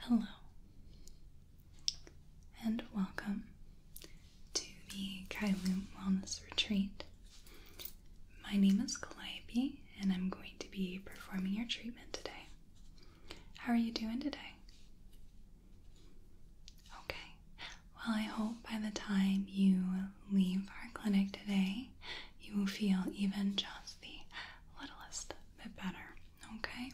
Hello, and welcome to the Kailoom Wellness Retreat. My name is Calliope, and I'm going to be performing your treatment today. How are you doing today? Okay, well, I hope by the time you leave our clinic today, you will feel even just the littlest bit better. Okay?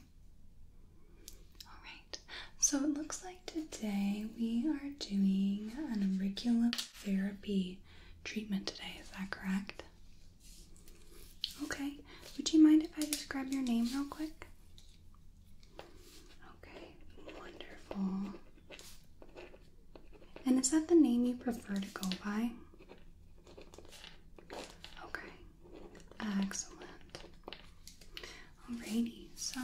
Alright, so it looks like today we are doing an auricular therapy treatment today. Is that correct? Okay, would you mind if I just grab your name real quick? Okay, wonderful. And is that the name you prefer to go by? Okay, excellent. Alrighty, so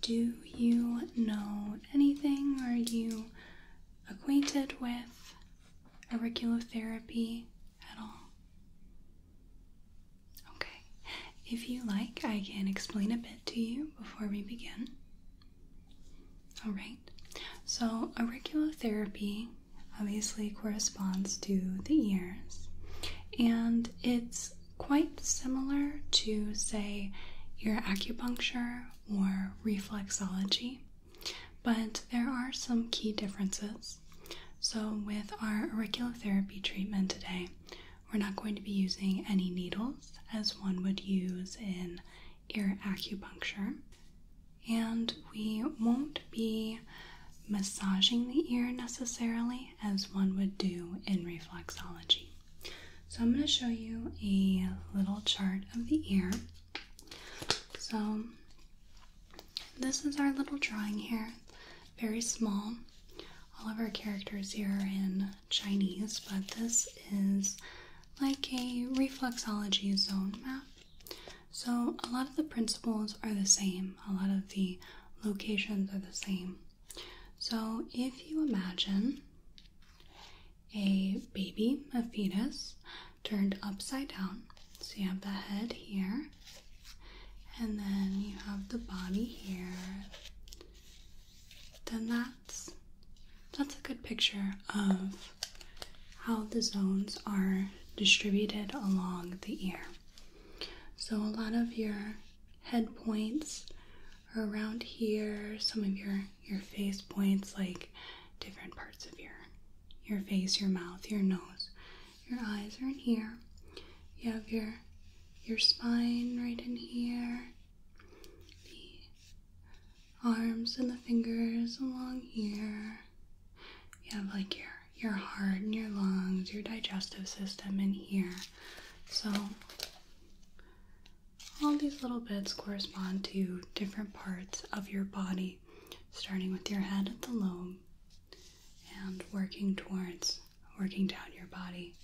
do you know anything? Are you acquainted with auriculotherapy at all? Okay, if you like, I can explain a bit to you before we begin. Alright, so therapy obviously corresponds to the ears, and it's quite similar to, say, your acupuncture or reflexology. But there are some key differences. So, with our auricular therapy treatment today, we're not going to be using any needles as one would use in ear acupuncture. And we won't be massaging the ear necessarily as one would do in reflexology. So, I'm going to show you a little chart of the ear so, this is our little drawing here. Very small. All of our characters here in Chinese, but this is like a reflexology zone map. So, a lot of the principles are the same, a lot of the locations are the same. So, if you imagine a baby, a fetus, turned upside down. So you have the head here, and then you have the body here. Then that's that's a good picture of how the zones are distributed along the ear. So a lot of your head points are around here, some of your your face points like different parts of your your face, your mouth, your nose, your eyes are in here. You have your your spine right in here. The arms and the fingers along here. You have like your your heart and your lungs, your digestive system in here. So all these little bits correspond to different parts of your body starting with your head at the lobe and working towards, working down your body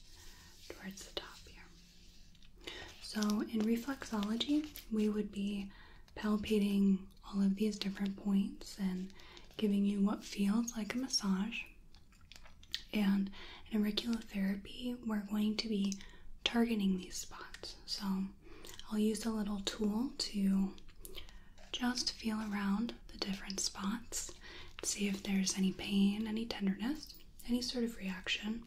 towards the top here. So in reflexology, we would be palpating all of these different points and giving you what feels like a massage. And in auricular therapy, we're going to be targeting these spots. So I'll use a little tool to just feel around the different spots, see if there's any pain, any tenderness, any sort of reaction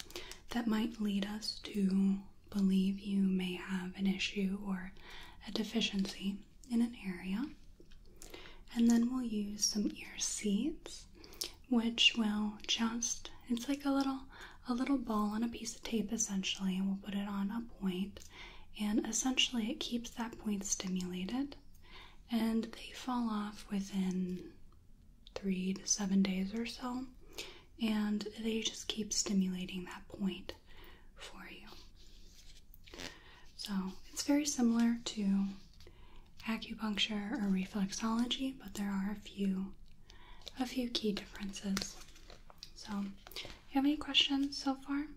that might lead us to believe you may have an issue or a deficiency in an area. And then we'll use some ear seeds, which will just it's like a little a little ball on a piece of tape essentially, and we'll put it on a point and essentially it keeps that point stimulated and they fall off within three to seven days or so and they just keep stimulating that point for you so it's very similar to acupuncture or reflexology but there are a few a few key differences so, you have any questions so far?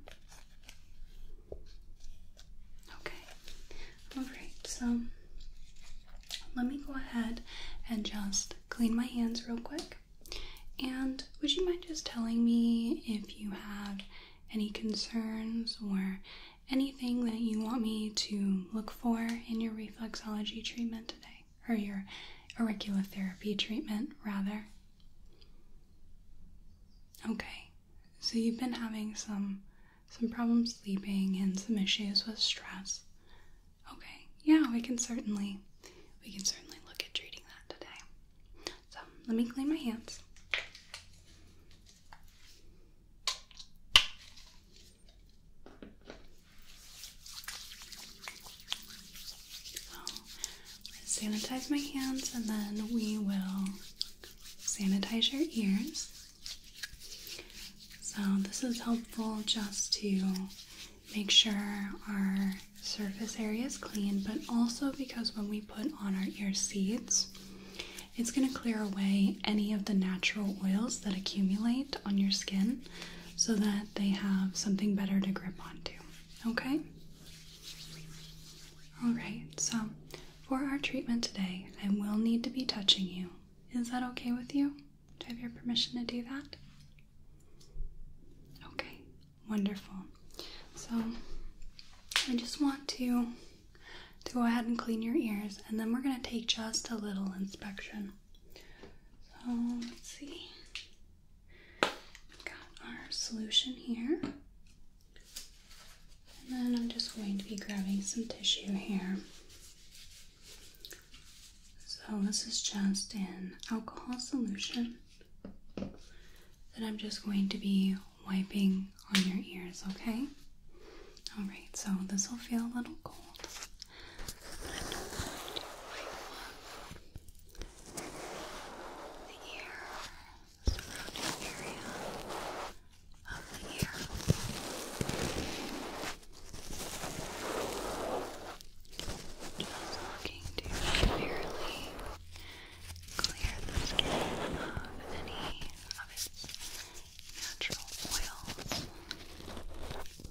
Okay, alright, so let me go ahead and just clean my hands real quick. And would you mind just telling me if you have any concerns or anything that you want me to look for in your reflexology treatment today? or your auricular therapy treatment, rather. Okay, so you've been having some some problems sleeping and some issues with stress. Okay, yeah, we can certainly we can certainly look at treating that today. So let me clean my hands. So I sanitize my hands and then we will sanitize your ears. So this is helpful just to make sure our surface area is clean, but also because when we put on our ear seeds, it's going to clear away any of the natural oils that accumulate on your skin so that they have something better to grip onto. Okay? Alright, so for our treatment today, I will need to be touching you. Is that okay with you? Do I have your permission to do that? Okay, wonderful. So I just want to to go ahead and clean your ears and then we're going to take just a little inspection. So let's see. We've got our solution here. And then I'm just going to be grabbing some tissue here. So this is just an alcohol solution that I'm just going to be wiping on your ears, okay? Alright, so this will feel a little cold the ear, surrounding area of the ear. Just looking to severely clear the skin of any of its natural oils.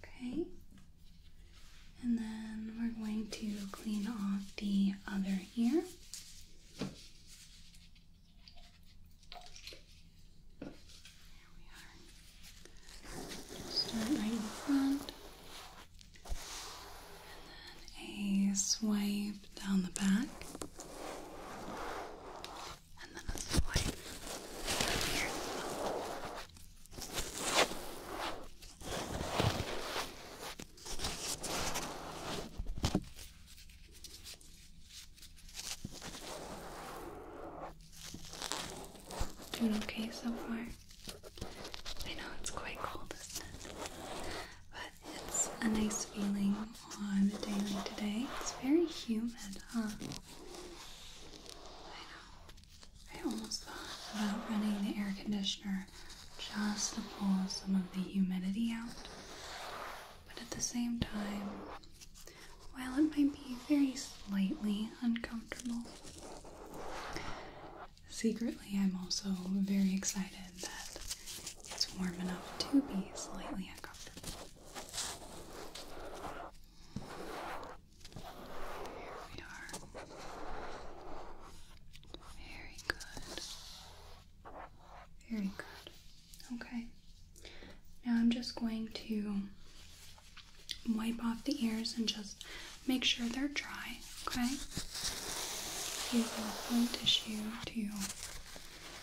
Okay. And then we're going to clean off the other ear. Start right in front. And then a swipe down the back. Doing okay so far. I know it's quite cold, not it? But it's a nice feeling on a day like today. It's very humid, huh? I know. I almost thought about running the air conditioner just to pull some of the humidity out. But at the same time, while it might be very slightly uncomfortable, secretly I'm also very excited that it's warm enough to be slightly uncomfortable. Very good. Very good. Okay. Now I'm just going to wipe off the ears and just make sure they're dry, okay? Use a clean tissue to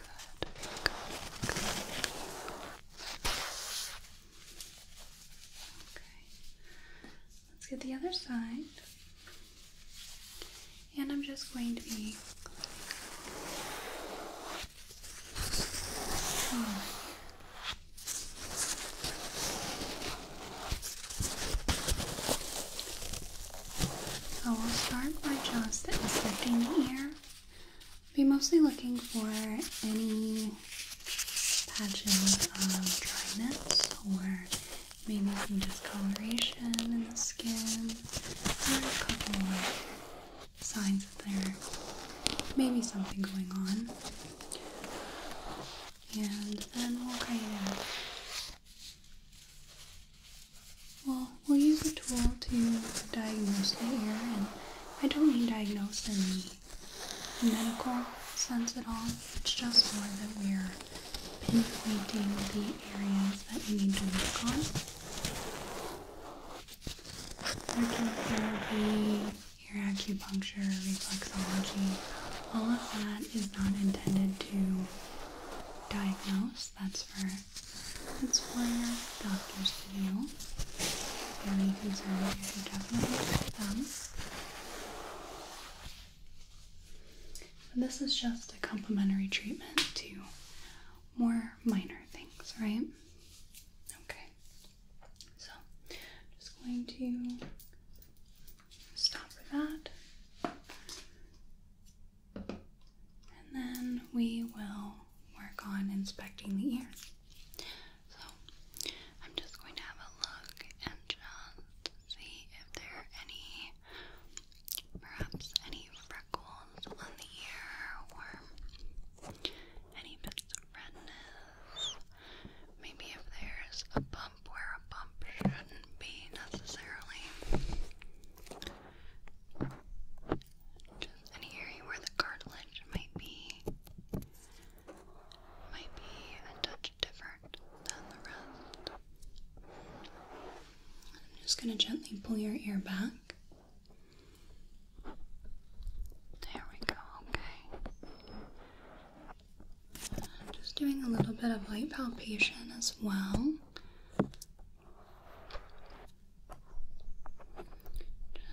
Let's get the other side. And I'm just going to be so we will start by just inspecting the ear. Be mostly looking for any patches of dryness or maybe some discoloration in the skin or a couple of signs that there may be something going on. And then we'll kind of well, we'll use a tool to diagnose the ear, and I don't mean diagnose in the medical sense at all. It's just more that we're pinpointing the areas that you need to work on. Radiotherapy, ear acupuncture, reflexology, all of that is not intended to diagnose. That's for that's why our doctors feel very concerned. You're definitely them. this is just a complimentary treatment to more minor things, right? Okay. So, just going to stop for that. And then we will work on inspecting the ear. So I'm just going to have a look and just see if there are any, perhaps any freckles on the ear or any bits of redness. Maybe if there's a bump where a bump shouldn't be necessarily. Just area where the cartilage might be might be a touch different than the rest. I'm just gonna gently pull your ear back. There we go, okay. just doing a little bit of light palpation as well.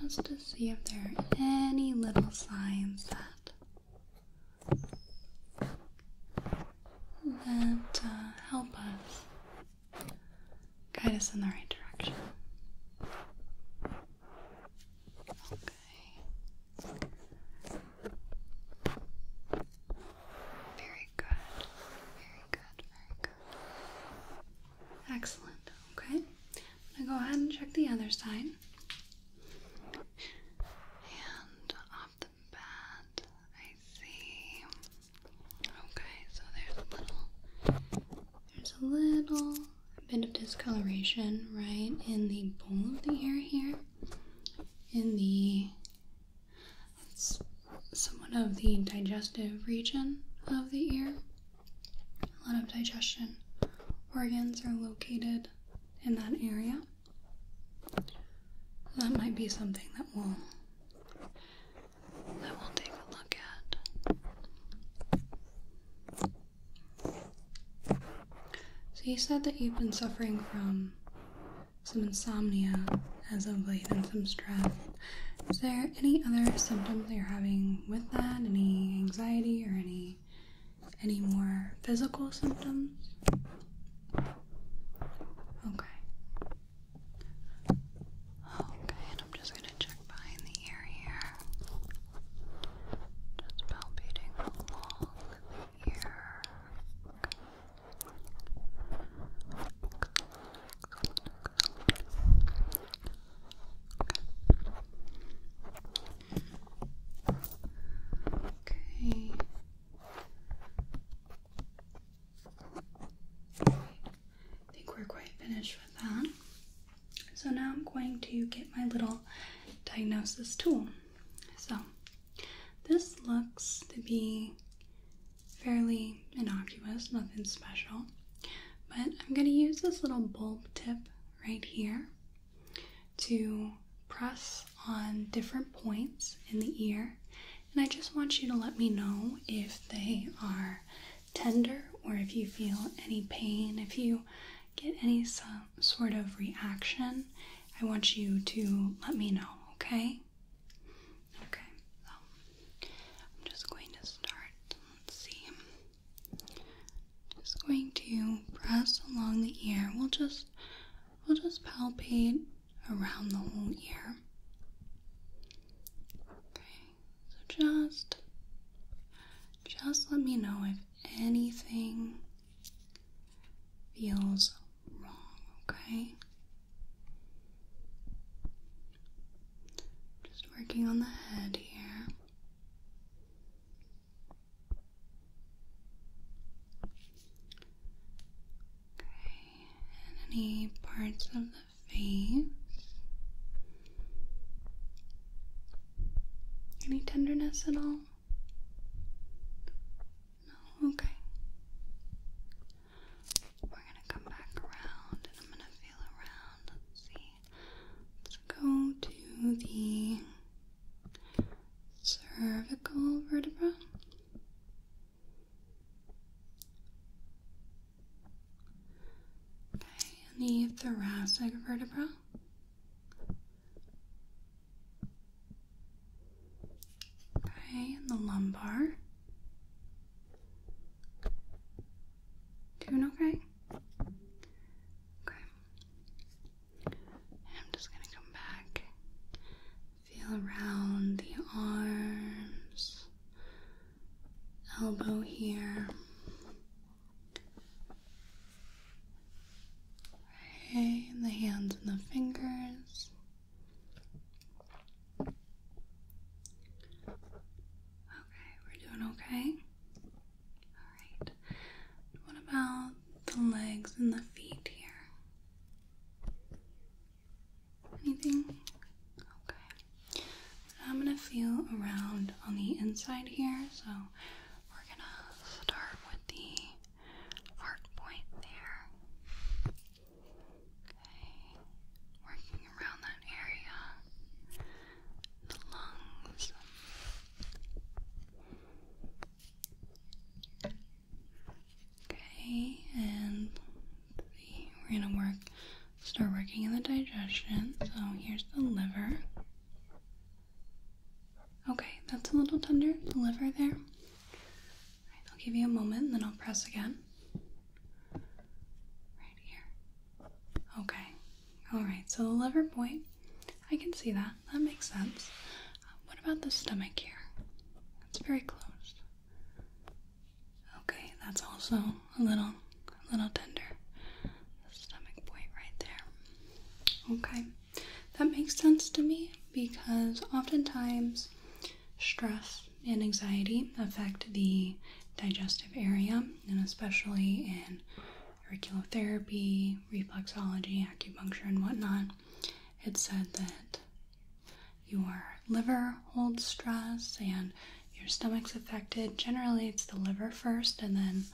Just to see if there are any little signs that that uh, help us guide us in the right direction. Okay. Very good good, very good. Excellent. Okay. I'm gonna go ahead and check the other side. And off the bat, I see. Okay, so there's a little there's a little bit of discoloration right in the bowl of the ear here. In the it's somewhat of the digestive region of the ear. A lot of digestion organs are located in that area. That might be something that we'll that we'll take a look at. So you said that you've been suffering from some insomnia as of late and some stress. Is there any other symptoms that you're having with that? Any anxiety or any any more physical symptoms? Okay. Okay, and I'm just gonna check behind the ear here. Just palpating the ear. Okay. I think we're quite finished with that. So now I'm going to get my little diagnosis tool. So this looks to be fairly innocuous, nothing special. But I'm going to use this little bulb tip right here to press on different points in the ear. And I just want you to let me know if they are tender or if you feel any pain, if you get any sort of reaction. I want you to let me know, okay? Okay. so I'm just going to start. Let's see. Just going to press along the ear. We'll just we'll just palpate around the whole ear. Okay, so just just let me know if anything feels wrong, okay? Just working on the head here. Okay, any parts of the face? Any tenderness at all? No, okay. We're gonna come back around and I'm gonna feel around. Let's see. Let's go to the cervical vertebra. Okay, and the thoracic vertebra. Okay, and the lumbar. Doing okay? Okay. I'm just gonna come back, feel around the arms, elbow here. Okay, and the hands and the fingers. Okay, we're doing okay. Alright. What about the legs and the feet here? Anything? Okay. I'm gonna feel around on the inside here, so we're gonna start with the heart point there. Okay, working around that area, the lungs. Okay, and we're gonna work, start working in the digestion. So here's the liver. Okay, that's a little tender, the liver there. Right, I'll give you a moment and then I'll press again. Right here. Okay. Alright, so the liver point, I can see that. That makes sense. Uh, what about the stomach here? It's very close. Okay, that's also a little a little tender. The stomach point right there. Okay. That makes sense to me because oftentimes Stress and anxiety affect the digestive area, and especially in auriculotherapy, reflexology, acupuncture, and whatnot, it's said that your liver holds stress and your stomach's affected. Generally, it's the liver first and then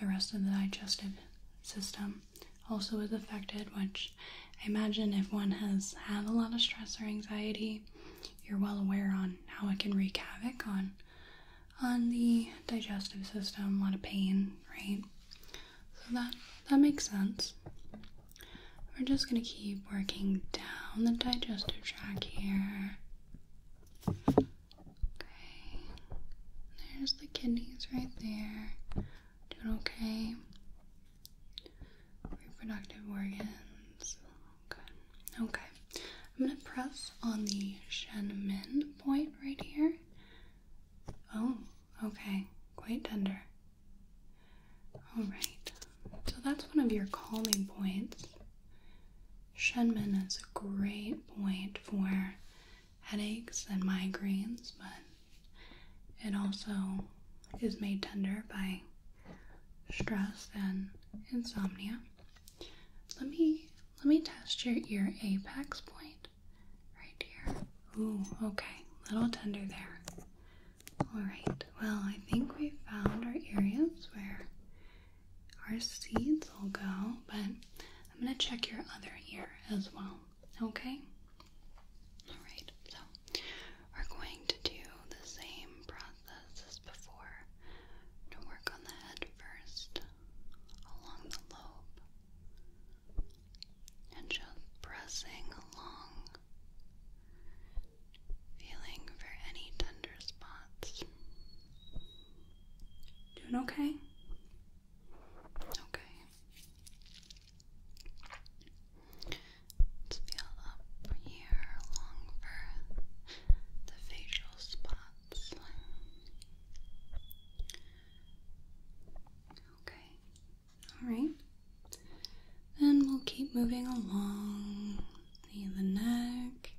the rest of the digestive system also is affected, which I imagine if one has had a lot of stress or anxiety, you're well aware on how it can wreak havoc on on the digestive system, a lot of pain, right? So that that makes sense. We're just gonna keep working down the digestive tract here. Okay. There's the kidneys right there. Doing okay reproductive organs. Okay. I'm gonna press on the Shenmen point right here. Oh, okay. Quite tender. Alright. So that's one of your calming points. Shenmen is a great point for headaches and migraines, but it also is made tender by stress and insomnia. Let me let me test your ear apex point right here. Ooh, okay, little tender there. All right. Well, I think we found our areas where our seeds will go, but I'm gonna check your other ear as well. Okay? Alright, so we're going to do the same process as before work on the head first, along the lobe, and just pressing along, feeling for any tender spots. Doing okay? Okay. Let's feel up here along the facial spots. Okay. Alright. Then we'll keep moving along the neck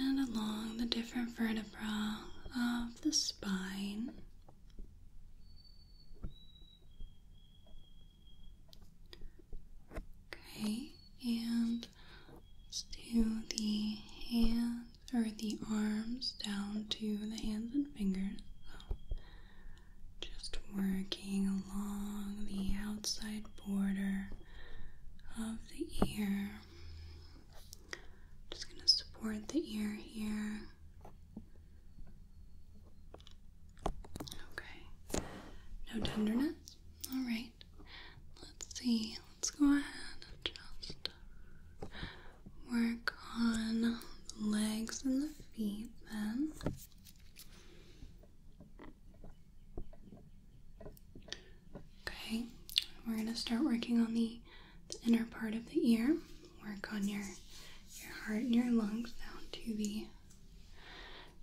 and along the different vertebrae of the spine. Okay, and let's do the hands or the arms down to the hands and fingers. So just working along the outside border of the ear. Just going to support the ear here. Okay. No tenderness? Alright. Let's see. Let's go ahead and just work on the legs and the feet then. Okay, we're going to start working on the the inner part of the ear. Work on your your heart and your lungs down to the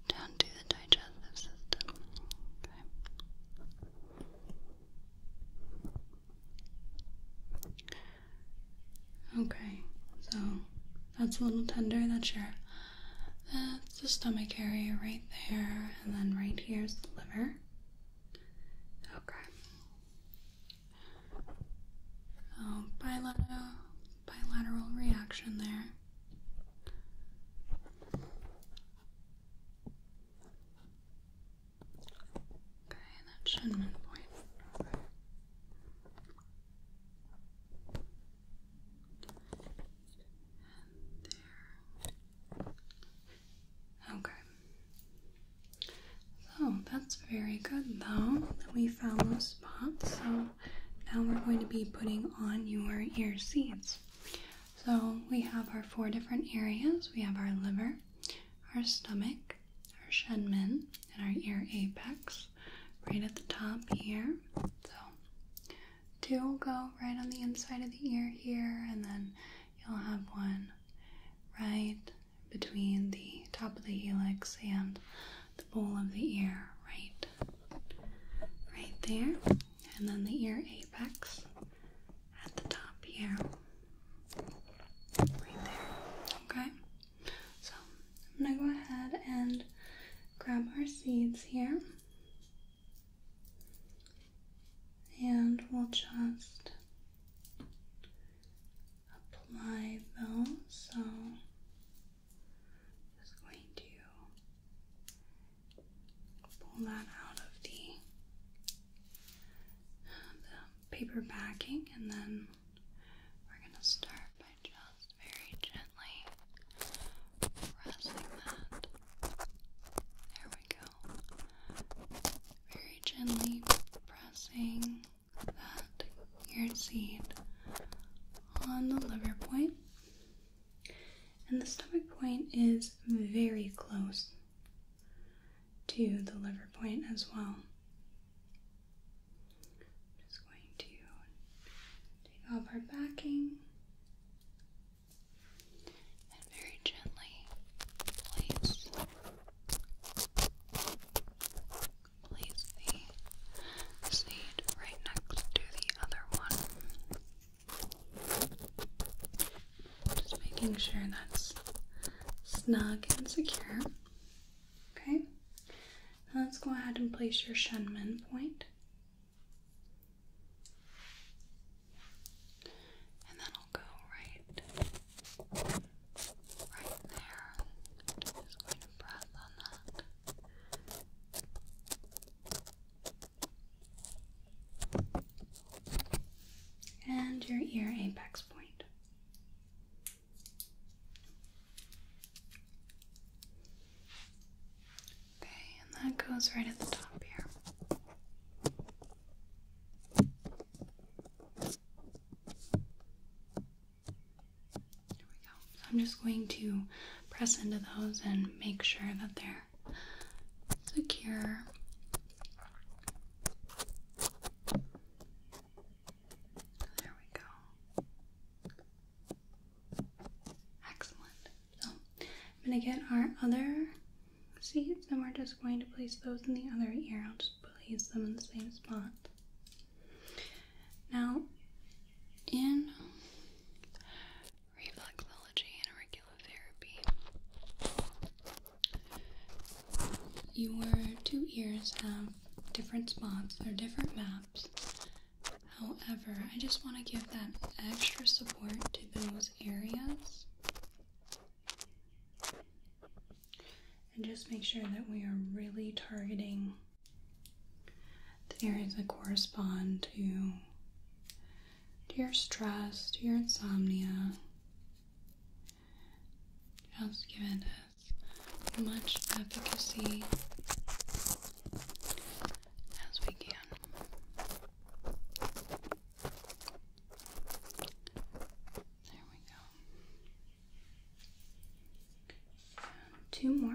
down to the digestive system. Okay. Okay, so that's a little tender. That's your that's the stomach area right there, and then right here is the liver. Okay. So oh, bilateral, bilateral reaction there. Okay, that shouldn't And there. Okay. So that's very good though. We found those spots. So now we're going to be putting on your ear seeds. So we have our four different areas. We have our liver, our stomach, our shenmen, and our ear apex right at the top here. So two will go right on the inside of the ear here and then you'll have one right between the top of the helix and the bowl of the ear, right? Right there. And then the ear apex at the top here. Right there. Okay? So I'm gonna go ahead and grab our seeds here. And we'll just apply those. So just going to pull that out of the paper backing and then we're going to start by just very gently pressing that. There we go. Very gently press pressing that ear seed on the liver And the stomach point is very close to the liver point as well. just going to take off our backing and very gently place place the seed right next to the other one. Just making sure that's snug and secure. Okay. let's go ahead and place your shunmen point. And then will go right right there. Just going to press on that. And your ear apex point. Okay, and that goes right at the top here. So I'm just going to press into those and make sure that they're secure. There we go. Excellent. So I'm going to get our other seeds and we're just going to place those in the other ear. I'll just place them in the same spot. Now, in reflexology and auricular therapy, your two ears have different spots, they're different maps. However, I just want to give that extra support to those areas and just make sure that we are really targeting the areas that correspond to, to your stress, to your insomnia. Just give it as much efficacy as we can. There we go. two more.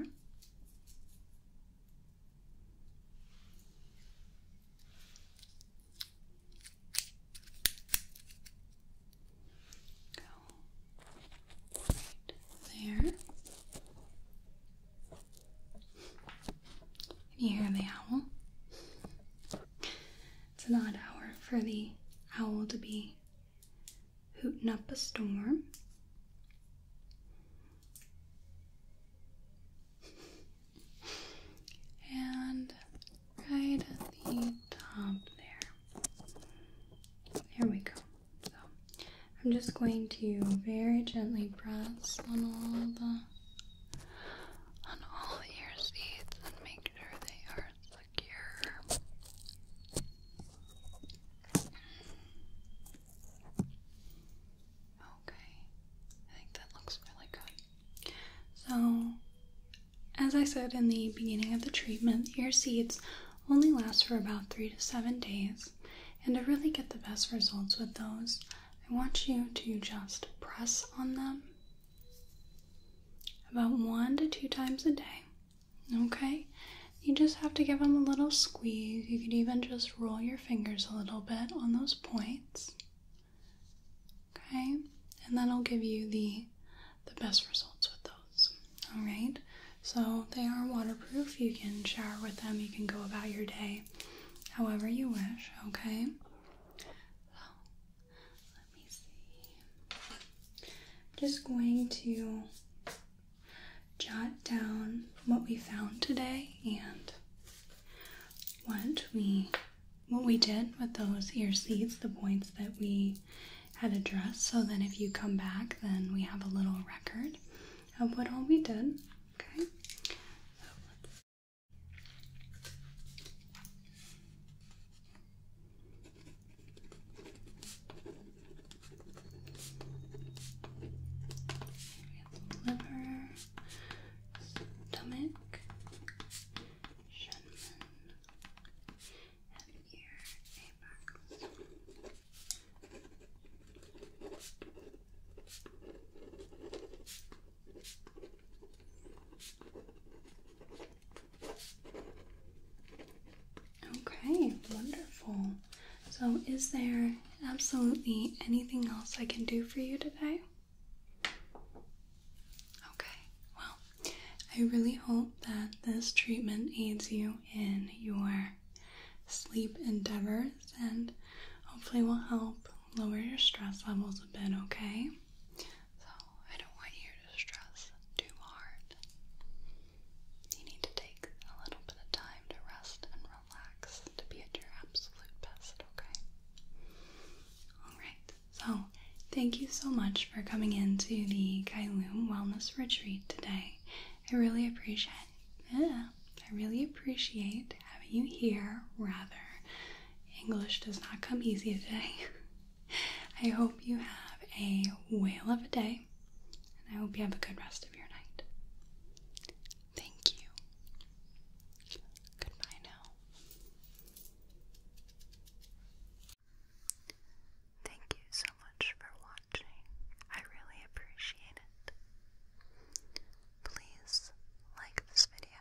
Go right there. Can you hear the owl? It's an odd hour for the owl to be hooting up a storm. and right at the top there. There we go. So I'm just going to very gently press on all the on all your seats and make sure they are secure. Okay, I think that looks really good. So, as I said in the beginning of the treatment, your seeds only last for about three to seven days, and to really get the best results with those, I want you to just press on them about one to two times a day. Okay? You just have to give them a little squeeze. You could even just roll your fingers a little bit on those points. Okay? And that'll give you the the best results with those. All right? So they are waterproof. You can shower with them. You can go about your day however you wish, okay? Let me see. I'm just going to jot down what we found today and what we what we did with those ear seeds, the points that we had addressed. So then if you come back, then we have a little record of what all we did. Okay. We have the liver, stomach, Shenman, and ear apex. Okay. Okay, wonderful. So, is there absolutely anything else I can do for you today? Okay, well, I really hope that this treatment aids you in your sleep endeavors and hopefully will help lower your stress levels a bit, okay? So I don't want you to stress too hard. You need to take a little bit of time to rest and relax to be at your absolute best, okay? Alright, so thank you so much for coming in to the Kailoom Wellness Retreat today. I really appreciate I really appreciate having you here rather English does not come easy today. I hope you have a whale of a day, and I hope you have a good rest of your night. Thank you. Goodbye now. Thank you so much for watching. I really appreciate it. Please like this video